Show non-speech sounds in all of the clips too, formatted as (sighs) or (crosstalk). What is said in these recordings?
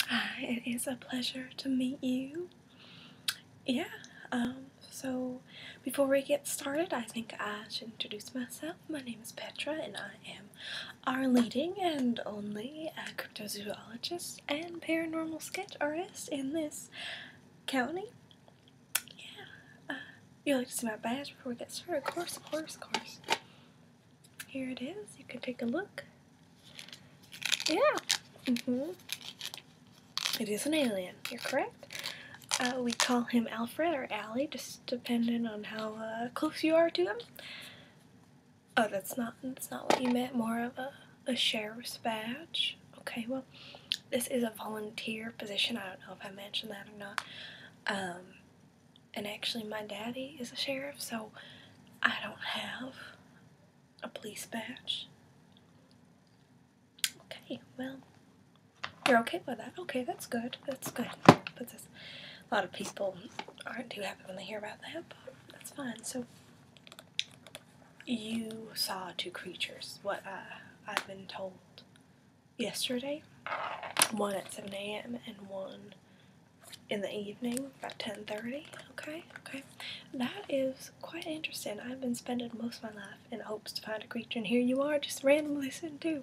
(sighs) it is a pleasure to meet you. Yeah, um, so before we get started, I think I should introduce myself. My name is Petra, and I am our leading and only uh, cryptozoologist and paranormal sketch artist in this county. Yeah, uh, you like to see my badge before we get started? Of course, of course, of course. Here it is. You can take a look. Yeah. hmm It is an alien. You're correct. Uh, we call him Alfred or Allie, just depending on how uh, close you are to him. Oh, that's not that's not what you meant. More of a, a sheriff's badge. Okay, well, this is a volunteer position. I don't know if I mentioned that or not. Um, and actually my daddy is a sheriff, so I don't have a police badge. Okay, well, you're okay with that. Okay, that's good. That's good. That's a lot of people aren't too happy when they hear about that, but that's fine. So you saw two creatures. What uh, I've been told yesterday, one at 7 a.m. and one in the evening, about 10.30, okay, okay. That is quite interesting. I've been spending most of my life in hopes to find a creature, and here you are just randomly sitting too.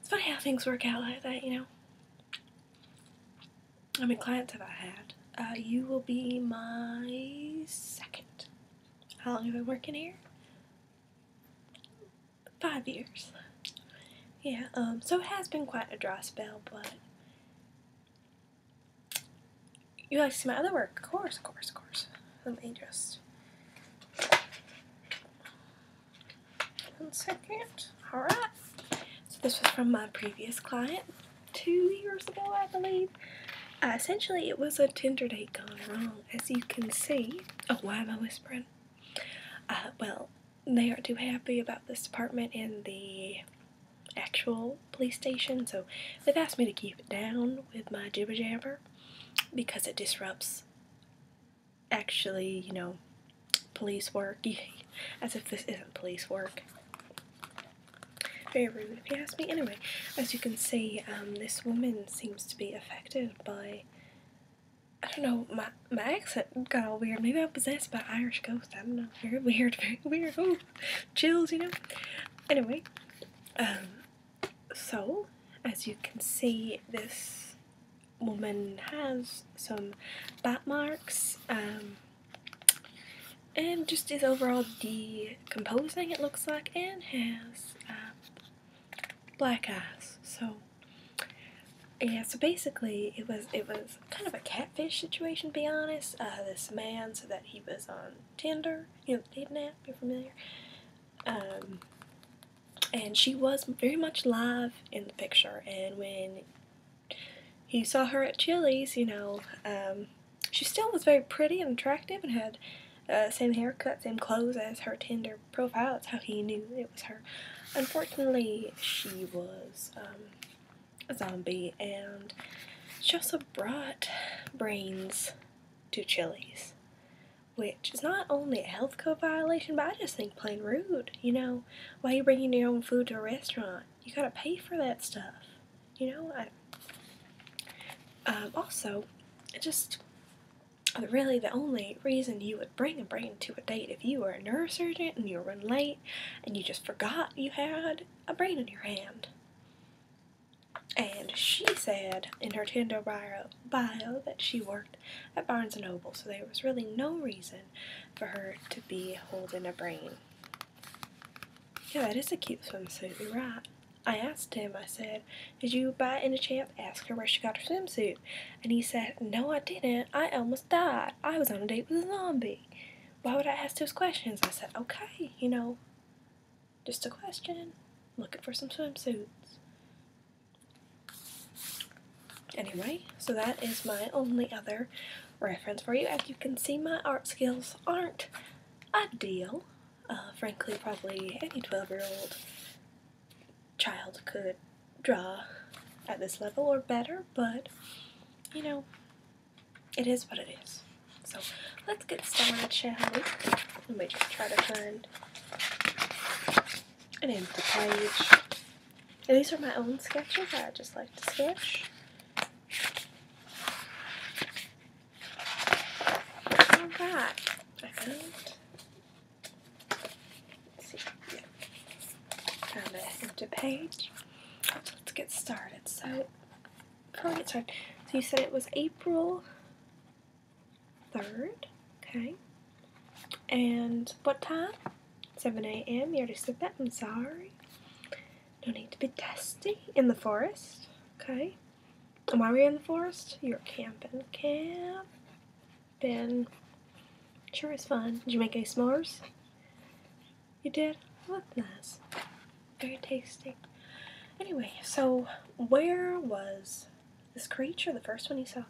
It's funny how things work out like that, you know. How many clients have I had? Uh, you will be my second. How long have I been working here? five years. Yeah, um, so it has been quite a dry spell, but you like to see my other work? Of course, of course, of course. Let me just one second. Alright. So this was from my previous client two years ago, I believe. Uh, essentially, it was a Tinder date gone wrong, as you can see. Oh, why am I whispering? Uh, well, they aren't too happy about this department in the actual police station, so they've asked me to keep it down with my jibber jabber because it disrupts actually, you know, police work. (laughs) as if this isn't police work. Very rude if you ask me. Anyway, as you can see, um, this woman seems to be affected by I don't know, my, my accent got all weird. Maybe I'm possessed by Irish ghosts. I don't know. Very weird, (laughs) very weird. Oh, chills, you know? Anyway, um, so, as you can see, this woman has some bat marks, um, and just is overall decomposing, it looks like, and has um, black eyes. So, yeah, so basically, it was it was kind of a catfish situation. To be honest, uh, this man so that he was on Tinder, you know, the dating app. You're familiar. Um, and she was very much live in the picture. And when he saw her at Chili's, you know, um, she still was very pretty and attractive and had uh, same haircut, same clothes as her Tinder her profile. That's how he knew it was her. Unfortunately, she was um, a zombie, and she also brought brains to Chili's, which is not only a health code violation, but I just think plain rude. You know, why are you bringing your own food to a restaurant? You gotta pay for that stuff. You know, I, um, also, it just really the only reason you would bring a brain to a date if you were a neurosurgeon and you were running late and you just forgot you had a brain in your hand. And she said in her Tinder bio, that she worked at Barnes & Noble, so there was really no reason for her to be holding a brain. Yeah, that is a cute swimsuit, you're right. I asked him, I said, did you by any chance ask her where she got her swimsuit? And he said, No, I didn't. I almost died. I was on a date with a zombie. Why would I ask those questions? I said, Okay, you know, just a question. Looking for some swimsuits. Anyway, so that is my only other reference for you. As you can see, my art skills aren't ideal. Uh, frankly, probably any 12 year old child could draw at this level or better, but you know, it is what it is. So let's get started, shall we? Let me just try to find an empty page. And these are my own sketches I just like to sketch. Alright, I found see, yeah. Found an empty page. Let's get started. So, before we get started, so you said it was April 3rd, okay? And what time? 7 a.m. You already said that. I'm sorry. No need to be testy in the forest, okay? Am I in the forest? You're camping. Camping. Sure it's fun. Did you make any s'mores? You did? Look nice. Very tasty. Anyway, so where was this creature, the first one you saw?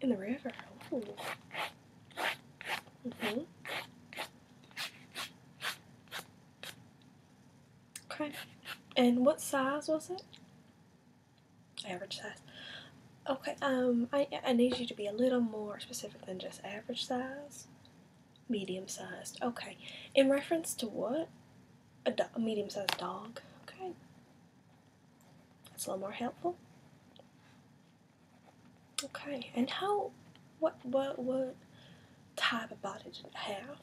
In the river. Mm-hmm. Okay. And what size was it? average size. Okay, um, I, I need you to be a little more specific than just average size. Medium sized. Okay. In reference to what? A, medium sized dog. Okay. That's a little more helpful. Okay. And how, what, what, what type of body did it have?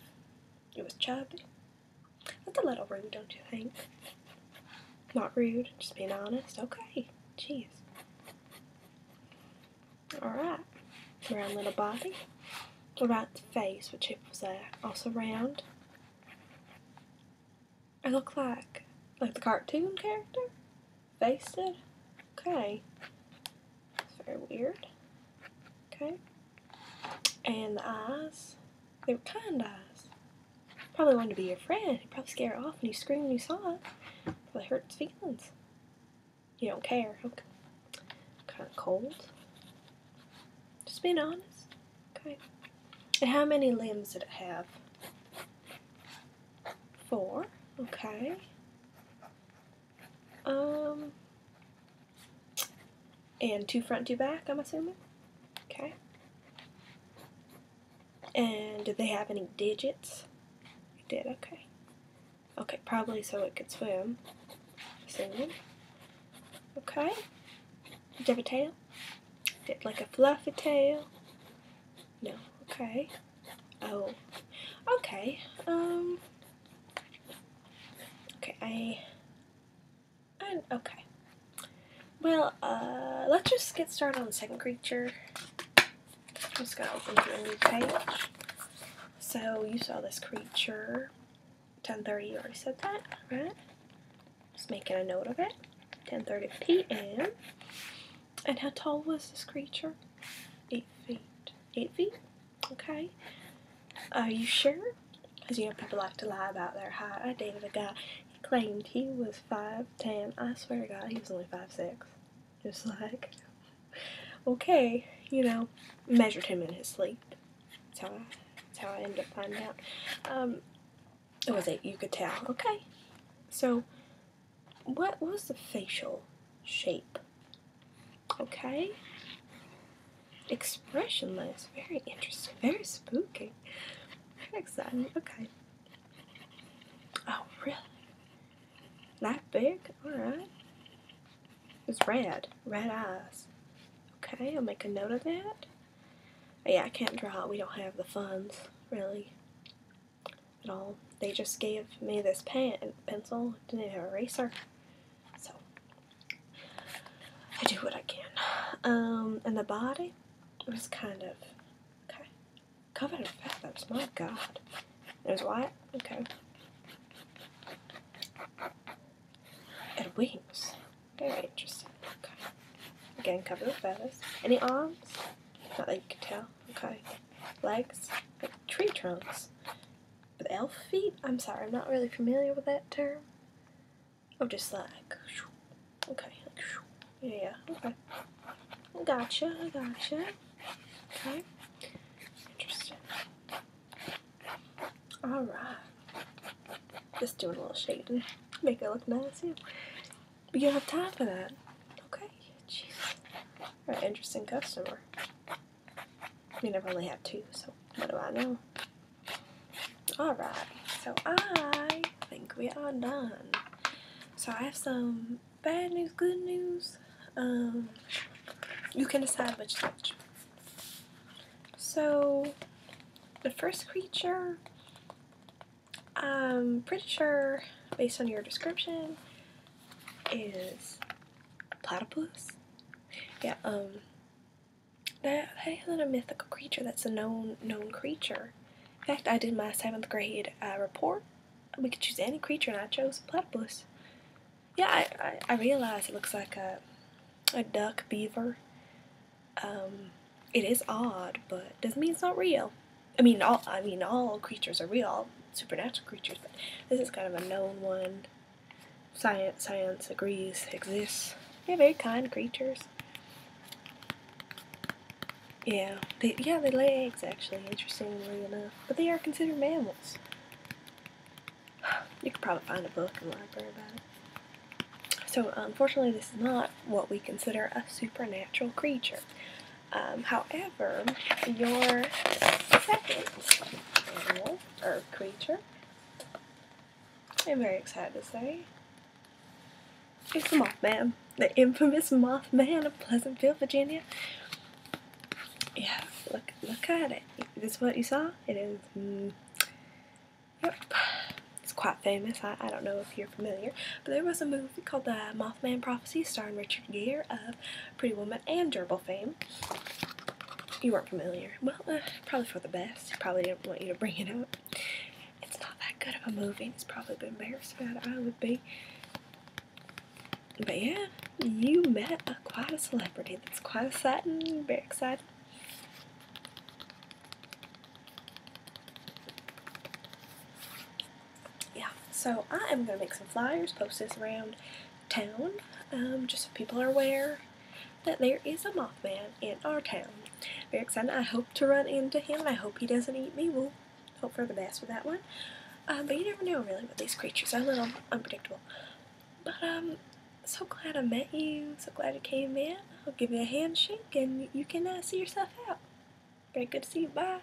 It was chubby. That's a little rude, don't you think? Not rude, just being honest. Okay, jeez. Alright, around little body. around the face? which shape was that? Uh, also round. I look like like the cartoon character? Face did? Okay. It's very weird. Okay. And the eyes, they were kind eyes. Probably wanted to be your friend. He probably scared off when you screamed when you saw it. Probably hurt feelings. You don't care. Okay. Kind of cold. Just being honest. Okay. And how many limbs did it have? Four. Okay. Um, and two front, two back, I'm assuming? Okay. And did they have any digits? did, okay. Okay, probably so it could swim. Assuming. Okay. Did it have a tail? Did like a fluffy tail? No. Okay. Oh. Okay. Um. Okay, I okay. Well, uh, let's just get started on the second creature. I'm just going to open to a new page. So, you saw this creature. 10.30, you already said that, right? Just making a note of it. 10.30 p.m. And how tall was this creature? 8 feet. 8 feet? Okay? Are you sure? Because you know people like to lie about their height. I dated a guy. He claimed he was five ten. I swear to God, he was only five six. Just like, okay, you know, measured him in his sleep. That's how I, that's how I ended up finding out. Um, it was it you could tell. Okay, so what was the facial shape Okay? Expressionless. Very interesting. Very spooky. Very exciting. Okay. Oh, really? Not big? Alright. It's red. Red eyes. Okay, I'll make a note of that. But yeah, I can't draw. We don't have the funds, really, at all. They just gave me this pen and pencil. Didn't have a eraser. So I do what I can. Um, and the body was kind of okay, covered in feathers. My God, it was white. Okay, and wings. Very interesting. Okay, again covered with feathers. Any arms? Not that you can tell. Okay, legs like tree trunks elf feet? I'm sorry, I'm not really familiar with that term. I'm oh, just like, okay, yeah, okay. Gotcha, gotcha. Okay, interesting. Alright. Just doing a little shading. Make it look nice, yeah. But you don't have time for that. Okay, Alright, interesting customer. I mean, I've only had two, so what do I know? Alright, so I think we are done. So I have some bad news, good news. Um, you can decide which which. So, the first creature, I'm pretty sure, based on your description, is platypus. Yeah, um, that, that isn't a mythical creature. That's a known known creature. In fact, I did my seventh grade uh, report. We could choose any creature, and I chose platypus. Yeah, I, I realize it looks like a a duck beaver. Um, it is odd, but doesn't mean it's not real. I mean, all I mean, all creatures are real supernatural creatures, but this is kind of a known one. Science science agrees exists. They're very kind creatures. Yeah, they, yeah, they lay eggs actually, interestingly enough. But they are considered mammals. (sighs) You could probably find a book in the library about it. So, unfortunately, this is not what we consider a supernatural creature. Um, however, your second animal or creature, I'm very excited to say, its the Mothman, the infamous Mothman of Pleasantville, Virginia. Yeah, look, look at it. Is This what you saw. It is. Mm, yep. It's quite famous. I, I don't know if you're familiar, but there was a movie called The Mothman Prophecy starring Richard Gere of Pretty Woman, and Durable fame. You weren't familiar. Well, uh, probably for the best. Probably didn't want you to bring it up. It's not that good of a movie. It's probably been embarrassed about I would be. But yeah, you met a, quite a celebrity. That's quite exciting. Very exciting yeah, so I am going to make some flyers, post this around town, um, just so people are aware that there is a Mothman in our town. Very excited. I hope to run into him. I hope he doesn't eat me. We'll hope for the best with that one. Uh, but you never know, really, with these creatures. They're a little unpredictable. But um, so glad I met you. So glad you came in. I'll give you a handshake, and you can uh, see yourself out. Very good to see you. Bye.